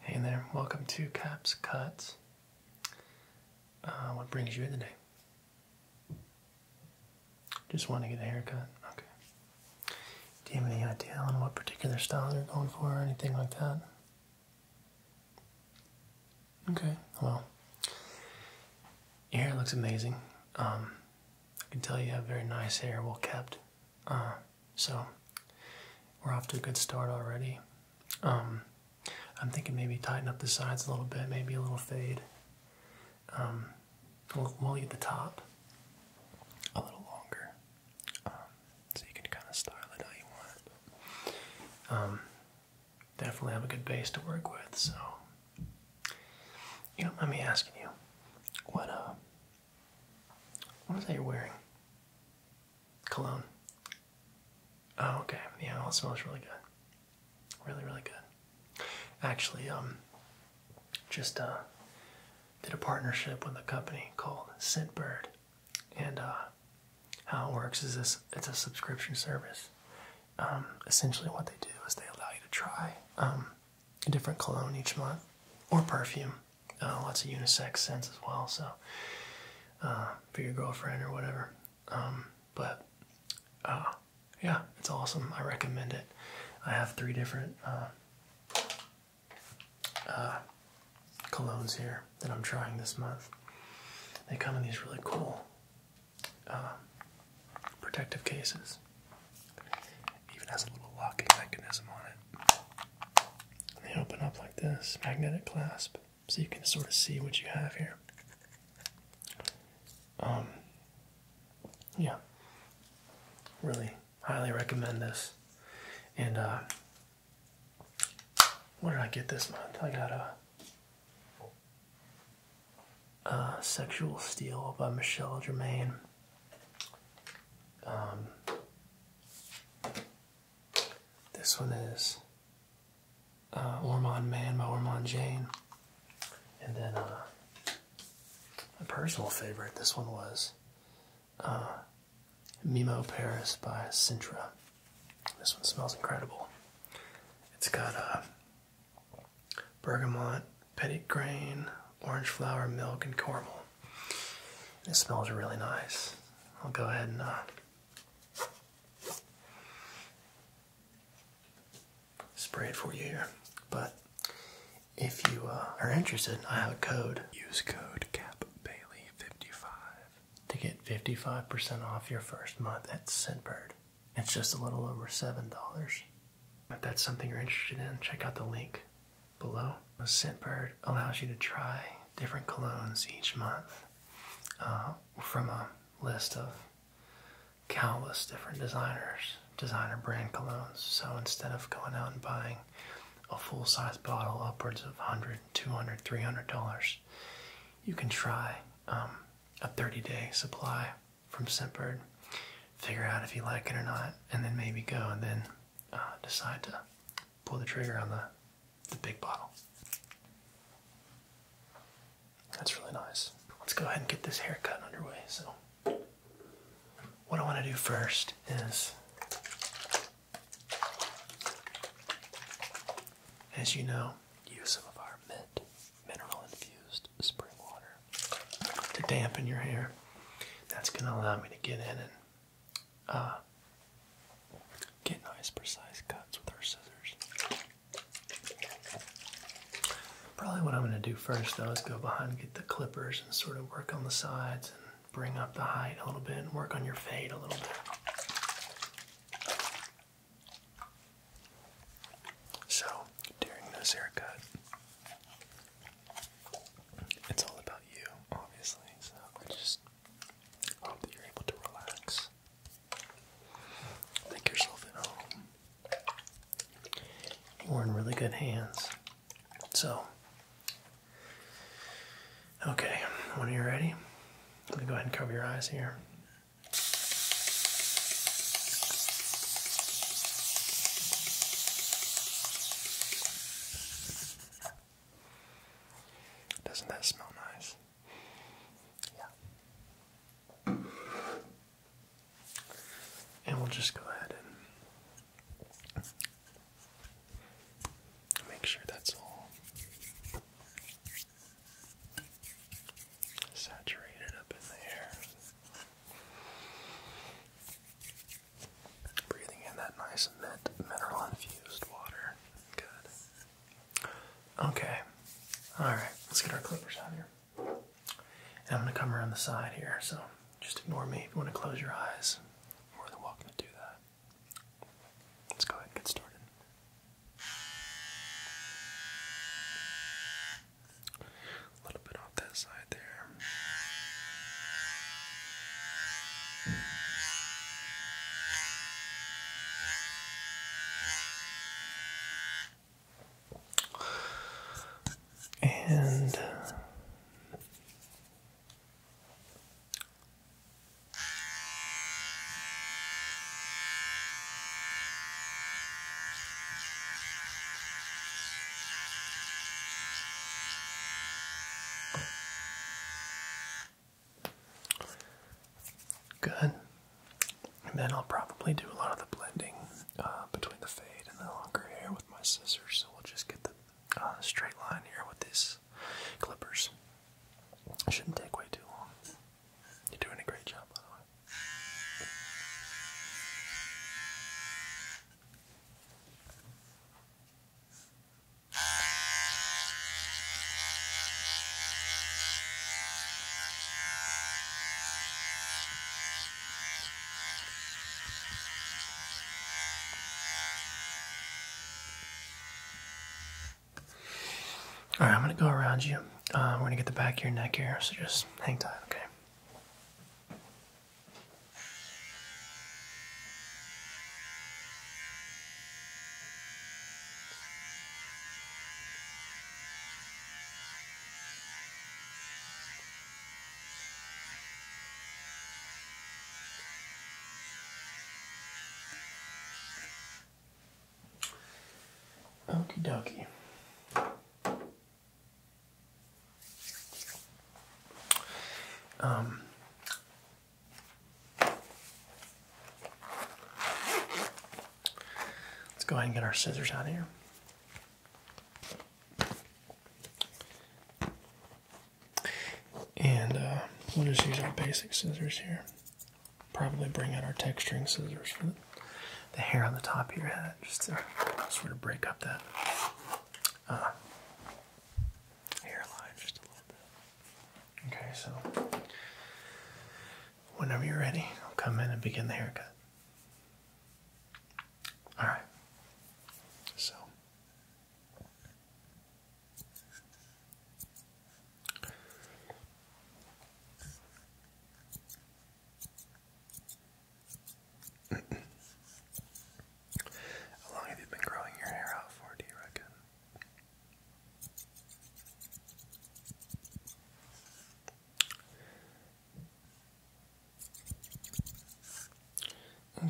Hey there, welcome to Caps Cuts. Uh, what brings you in today? Just want to get a haircut. Okay. Do you have any idea on what particular style you're going for or anything like that? Okay, well, your hair looks amazing. Um, I can tell you have very nice hair, well kept. Uh, so we're off to a good start already. Um, I'm thinking maybe tighten up the sides a little bit, maybe a little fade. Um, we'll, leave the top a little longer, um, so you can kind of style it how you want definitely have a good base to work with. So, you know, let me asking you, what uh, what is that you're wearing? cologne. Oh, okay. Yeah, it smells really good. Really, really good. Actually, um, just uh, did a partnership with a company called Scentbird, and uh, how it works is this: it's a subscription service. Um, essentially, what they do is they allow you to try a um, different cologne each month or perfume uh, lots of unisex scents as well. So uh, for your girlfriend or whatever. Um, but uh, yeah, it's awesome. I recommend it. I have three different uh, colognes here that I'm trying this month. They come in these really cool protective cases. Even has a little locking mechanism on it. They open up like this, magnetic clasp, so you can sort of see what you have here. Um, yeah, really highly recommend this. And uh, what did I get this month? I got a. Sexual Steel by Michelle Germain. Um, this one is uh, Ormond Man by Ormond Jane. And then uh, my personal favorite, this one was uh, Mimo Paris by Sintra. This one smells incredible. It's got uh, bergamot, petit grain, orange flower, milk, and caramel. It smells really nice. I'll go ahead and uh, spray it for you here. But if you uh, are interested, I have a code. Use code CAP Bailey 55 to get 55% off your first month at Scentbird. It's just a little over $7. If that's something you're interested in, check out the link below. The scent allows you to try different colognes each month uh, from a list of countless different designers, designer brand colognes. So instead of going out and buying a full size bottle upwards of 100 200 $300, you can try um, a 30 day supply from Scentbird, figure out if you like it or not, and then maybe go and then uh, decide to pull the trigger on the the big bottle. That's really nice. Let's go ahead and get this haircut underway. So, what I want to do first is, as you know, use some of our mint mineral infused spring water to dampen your hair. That's going to allow me to get in and uh, get nice precise cuts with our scissors. Probably what I'm going to do first though is go behind and get the clippers and sort of work on the sides and bring up the height a little bit and work on your fade a little bit. So doing this haircut, it's all about you, obviously, so I just hope that you're able to relax. Make yourself at home. We're in really good hands. So, okay, when you're ready, I'm gonna go ahead and cover your eyes here. Doesn't that smell nice? Yeah. And we'll just go ahead and make sure that's all saturated up in the air. Breathing in that nice mint, mineral infused water. Good. Okay. Alright, let's get our clippers out here. And I'm going to come around the side here, so just ignore me. If you want to close your eyes, more than welcome to do that. Let's go ahead and get started little off that side there. And uh, Good. And then I'll probably do a lot of the blending uh, between the fade and the longer hair with my scissors. So we'll just get the uh, straight line here with these clippers. shouldn't take way too long. You're doing a great job, by the way. All right, I'm gonna go around you. Uh, we're gonna get the back of your neck here, so just hang tight, okay? Okie dokie. Um, let's go ahead and get our scissors out of here. And uh, we'll just use our basic scissors here. Probably bring out our texturing scissors for the hair on the top of your head just to sort of break up that uh, hairline just a little bit. Okay, so whenever you're ready, I'll come in and begin the haircut. All right. So how long have you been growing your hair out for, do you reckon?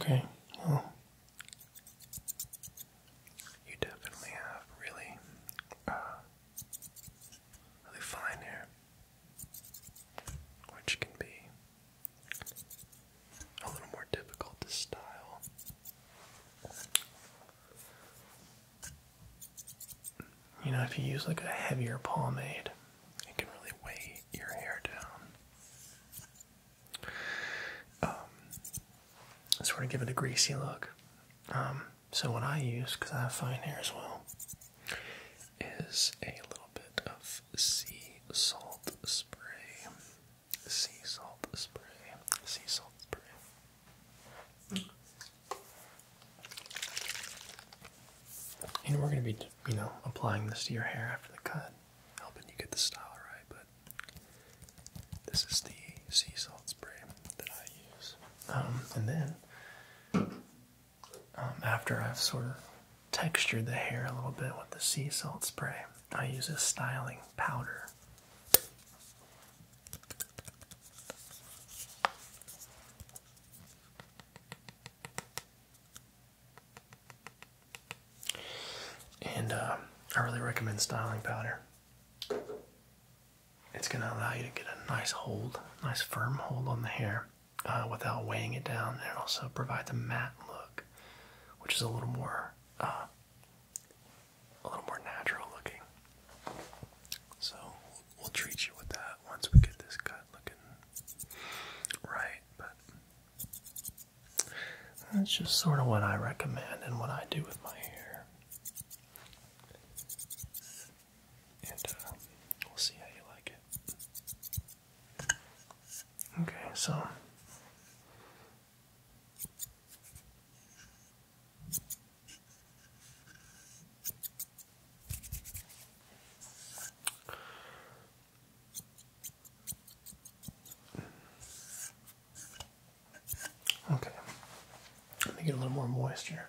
Okay, well, you definitely have really, uh, really fine hair, which can be a little more difficult to style. You know, if you use like a heavier pomade, it can really weigh your hair down. Um, sort of give it a greasy look. Um, so what I use, because I have fine hair as well, is a little bit of sea salt spray. Sea salt spray. Sea salt spray. And we're going to be, you know, applying this to your hair after the cut, helping you get the style right. But this is the sea salt spray that I use. Um, and then um, after I've sort of textured the hair a little bit with the sea salt spray, I use a styling powder. And uh, I really recommend styling powder. It's going to allow you to get a nice hold, nice firm hold on the hair. Uh, without weighing it down, and also provides a matte look, which is a little more uh, a little more natural looking. So we'll treat you with that once we get this cut looking right. But that's just sort of what I recommend and what I do with my hair. And uh, we'll see how you like it. Okay, so Okay. Let me get a little more moisture.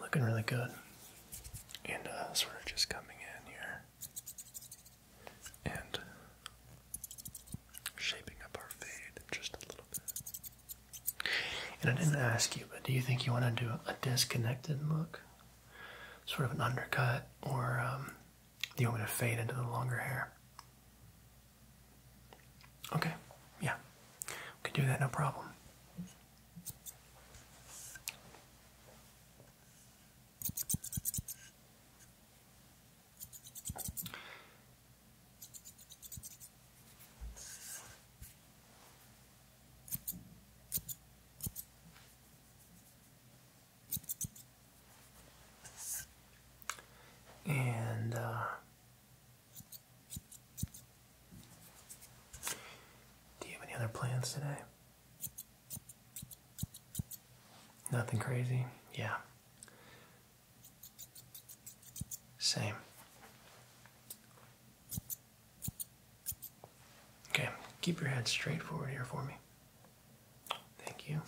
Looking really good. And uh, sort of just coming in here and shaping up our fade just a little bit. And I didn't ask you, but do you think you want to do a disconnected look? sort of an undercut, or um, do you want me to fade into the longer hair? Okay, yeah, can do that, no problem. And uh, do you have any other plans today? Nothing crazy? Yeah. Same. Okay, keep your head straight forward here for me. Thank you.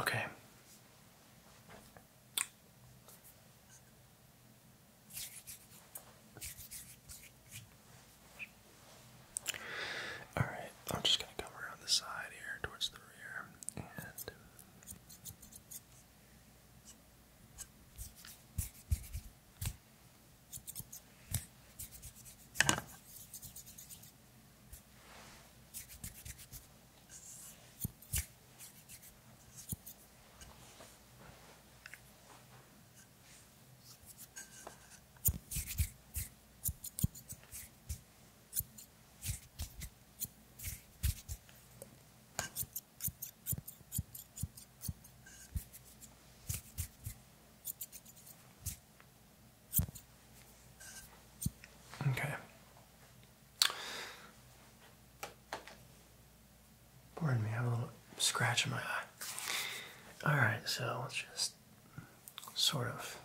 Okay. Alright, I'm just going to come around the side here towards the rear and. Uh, Okay. Pardon me, I have a little scratch in my eye. Alright, so let's just sort of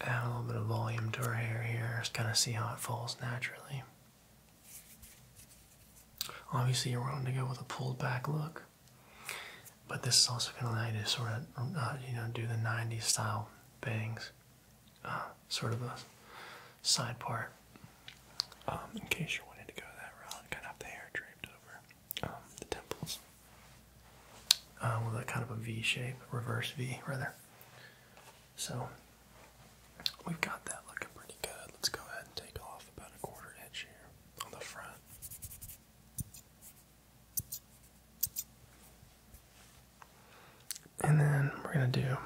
add a little bit of volume to her hair here, just kind of see how it falls naturally. Obviously, you're wanting to go with a pulled back look, but this is also going to allow you to sort of, uh, you know, do the 90s style bangs sort of a side part. Um, in case you wanted to go that route, kind of have the hair draped over um, the temples. Uh, with a kind of a V shape, reverse V rather. So we've got that looking pretty good. Let's go ahead and take off about a quarter inch here on the front. And then we're going to do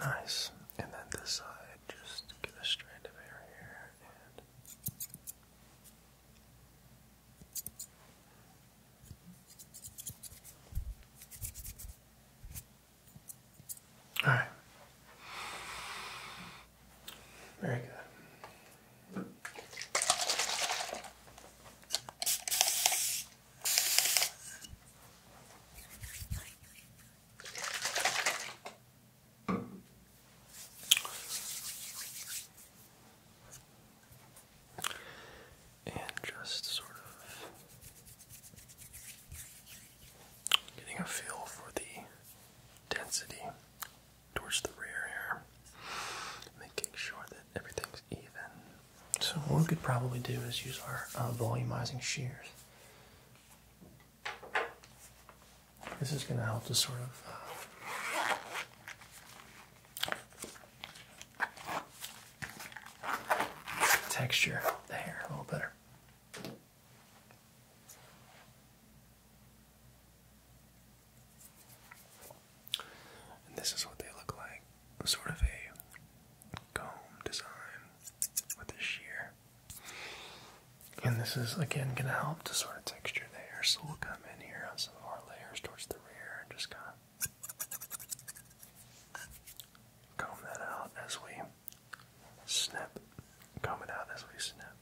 Nice. And then this side, just get a strand of hair here All right. Very good. And just sort of getting a feel for the density towards the rear here, making sure that everything's so what we could probably do is use our uh, volumizing shears. This is going to help to sort of uh, texture the hair a little better. And this is what they look like. Sort of a comb design with a shear. And this is again gonna help to sort of texture the hair. So we'll come in here on some of our layers towards the rear and just kinda comb that out as we snip. Comb out as we snip.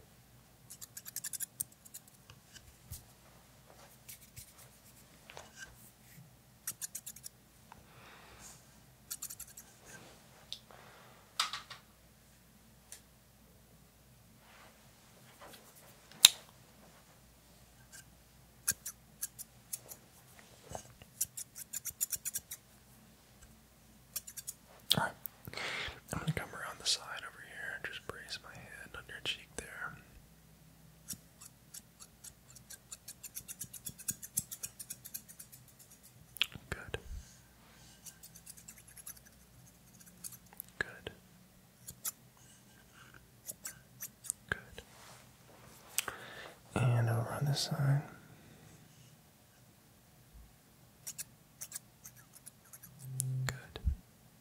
All right. I'm gonna come around the side over here and just brace my hand on your cheek there. Good. Good. Good. And over on this side. Good.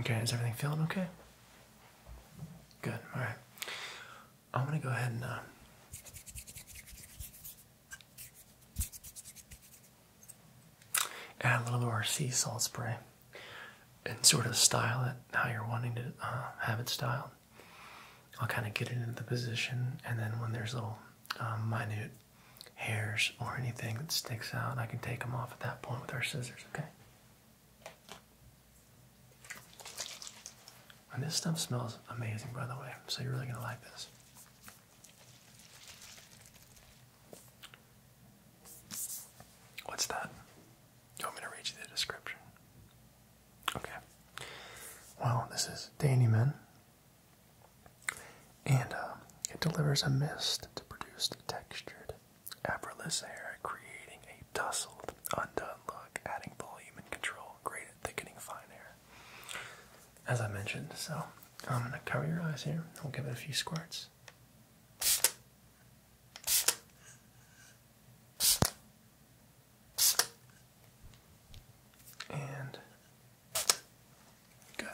Okay, is everything feeling okay? Good, alright. I'm gonna go ahead and uh, add a little bit of our sea salt spray and sort of style it how you're wanting to uh, have it styled. I'll kind of get it into the position, and then when there's little um, minute hairs or anything that sticks out, I can take them off at that point with our scissors, okay? And this stuff smells amazing, by the way, so you're really going to like this. What's that? You want me to read you the description? Okay. Well, this is Dannyman, and uh, it delivers a mist to produce textured Effortless hair, creating a tousled, undone look, adding volume and control, great at thickening fine hair. As I mentioned, so I'm gonna cover your eyes here. I'll give it a few squirts. And good.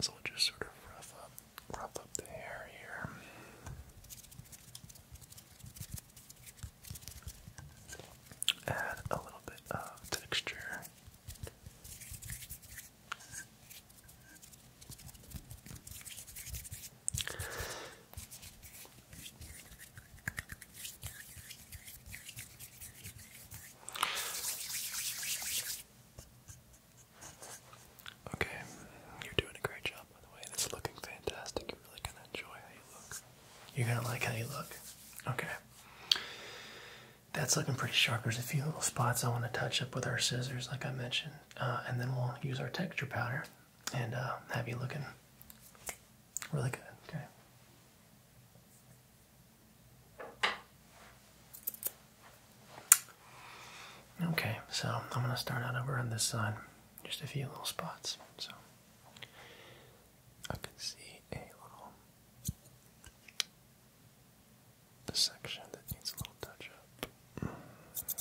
So we'll just sort of rough up, rough up the hair here. Add a little bit of texture. Okay, you're doing a great job, by the way. It's looking fantastic. You're really gonna enjoy how you look. You're gonna like how you look. Okay. That's looking pretty sharp. There's a few little spots I want to touch up with our scissors, like I mentioned, uh, and then we'll use our texture powder and uh, have you looking really good. Okay. Okay, so I'm gonna start out over on this side, just a few little spots. So I can see a little the section that needs a little touch up.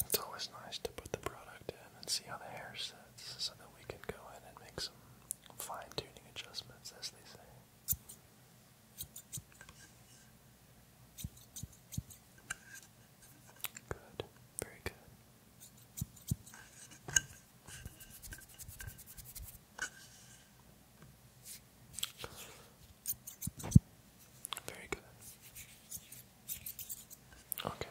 It's always nice to put the product in and see how the hair sits so that we can go in and make some fine tuning adjustments, as they say. Good, very good. Very good. Okay.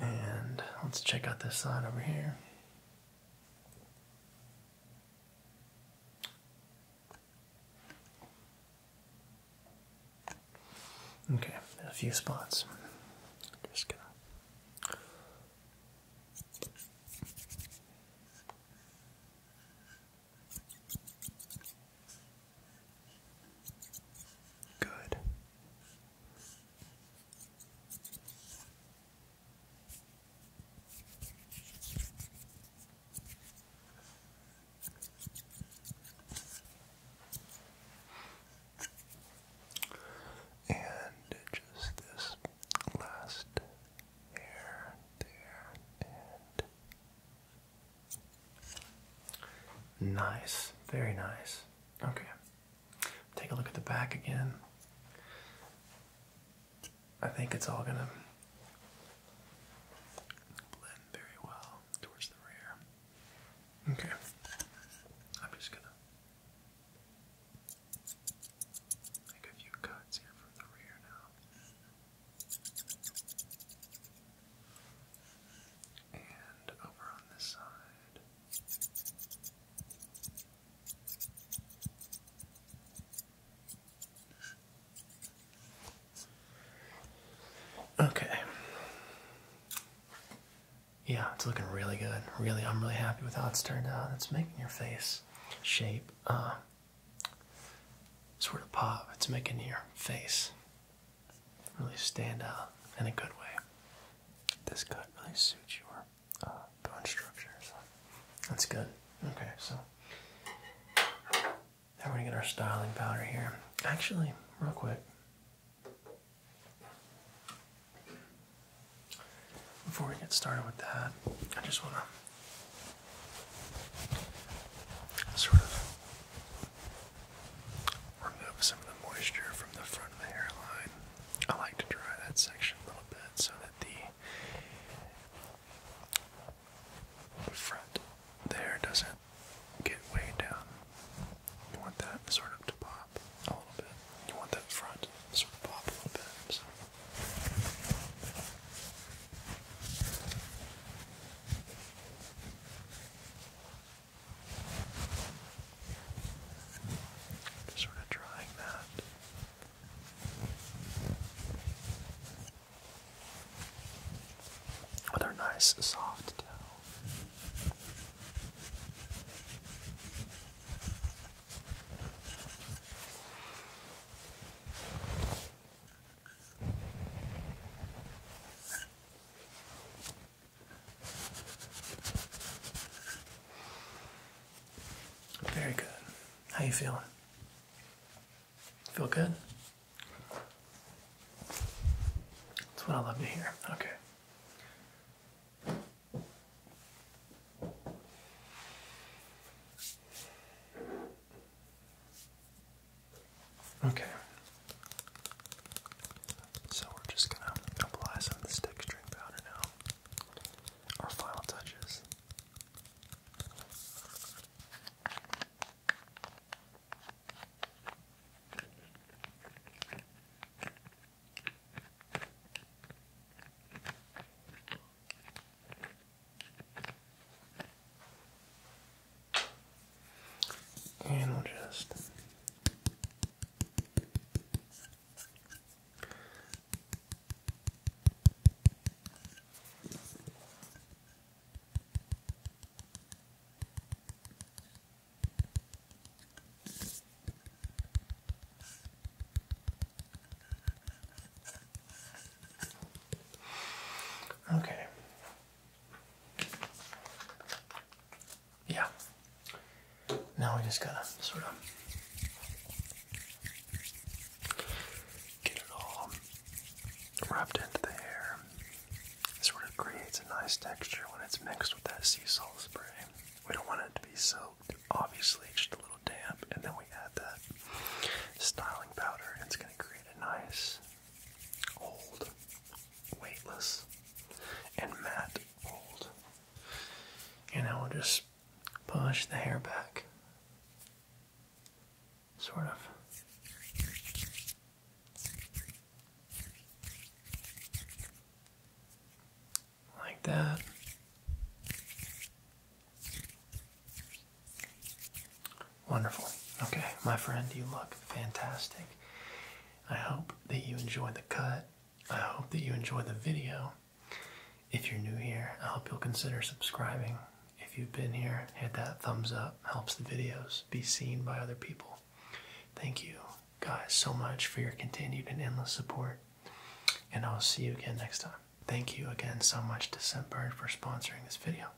And let's check out this side over here. Okay, a few spots. Just gonna. Good. And just this last hair there and Nice, very nice. Okay, take a look at the back again. I think it's all gonna blend very well towards the rear. Okay, I'm just gonna make a few cuts here from the rear now. And over on this side. Okay. Yeah, it's looking really good. Really, I'm really happy with how it's turned out. It's making your face shape uh, sort of pop. It's making your face really stand out in a good way. This could really suit your uh, bone structure, so that's good. Okay, so now we're gonna get our styling powder here. Actually, real quick, before we get started with that, I just wanna sort of remove some of the moisture from the front of the hairline. I like to dry that section a little bit so that the front the doesn't get way down. You want that sort of to pop a little bit. You want that front sort of pop a little bit. Just sort of drying that. Another nice soft towel. Very good. How you feeling? Feel good? That's what I love to hear. Okay. Okay. So we're just gonna apply some of this texturing powder now. Our final touches. And we'll just Okay, yeah. Now we just gotta sort of get it all wrapped into the hair. sort of creates a nice texture when it's mixed with that sea salt spray. We don't want it to be soaked, obviously, just a little damp, and then we add that styling powder, it's gonna create a nice old, weightless, and matte old. And I will just push the hair back. Sort of. Like that. Wonderful. Okay, my friend, you look fantastic. I hope that you enjoy the cut. I hope that you enjoy the video. If you're new here, I hope you'll consider subscribing. If you've been here, hit that thumbs up. Helps the videos be seen by other people. Thank you guys so much for your continued and endless support. And I'll see you again next time. Thank you again so much to Scentbird for sponsoring this video.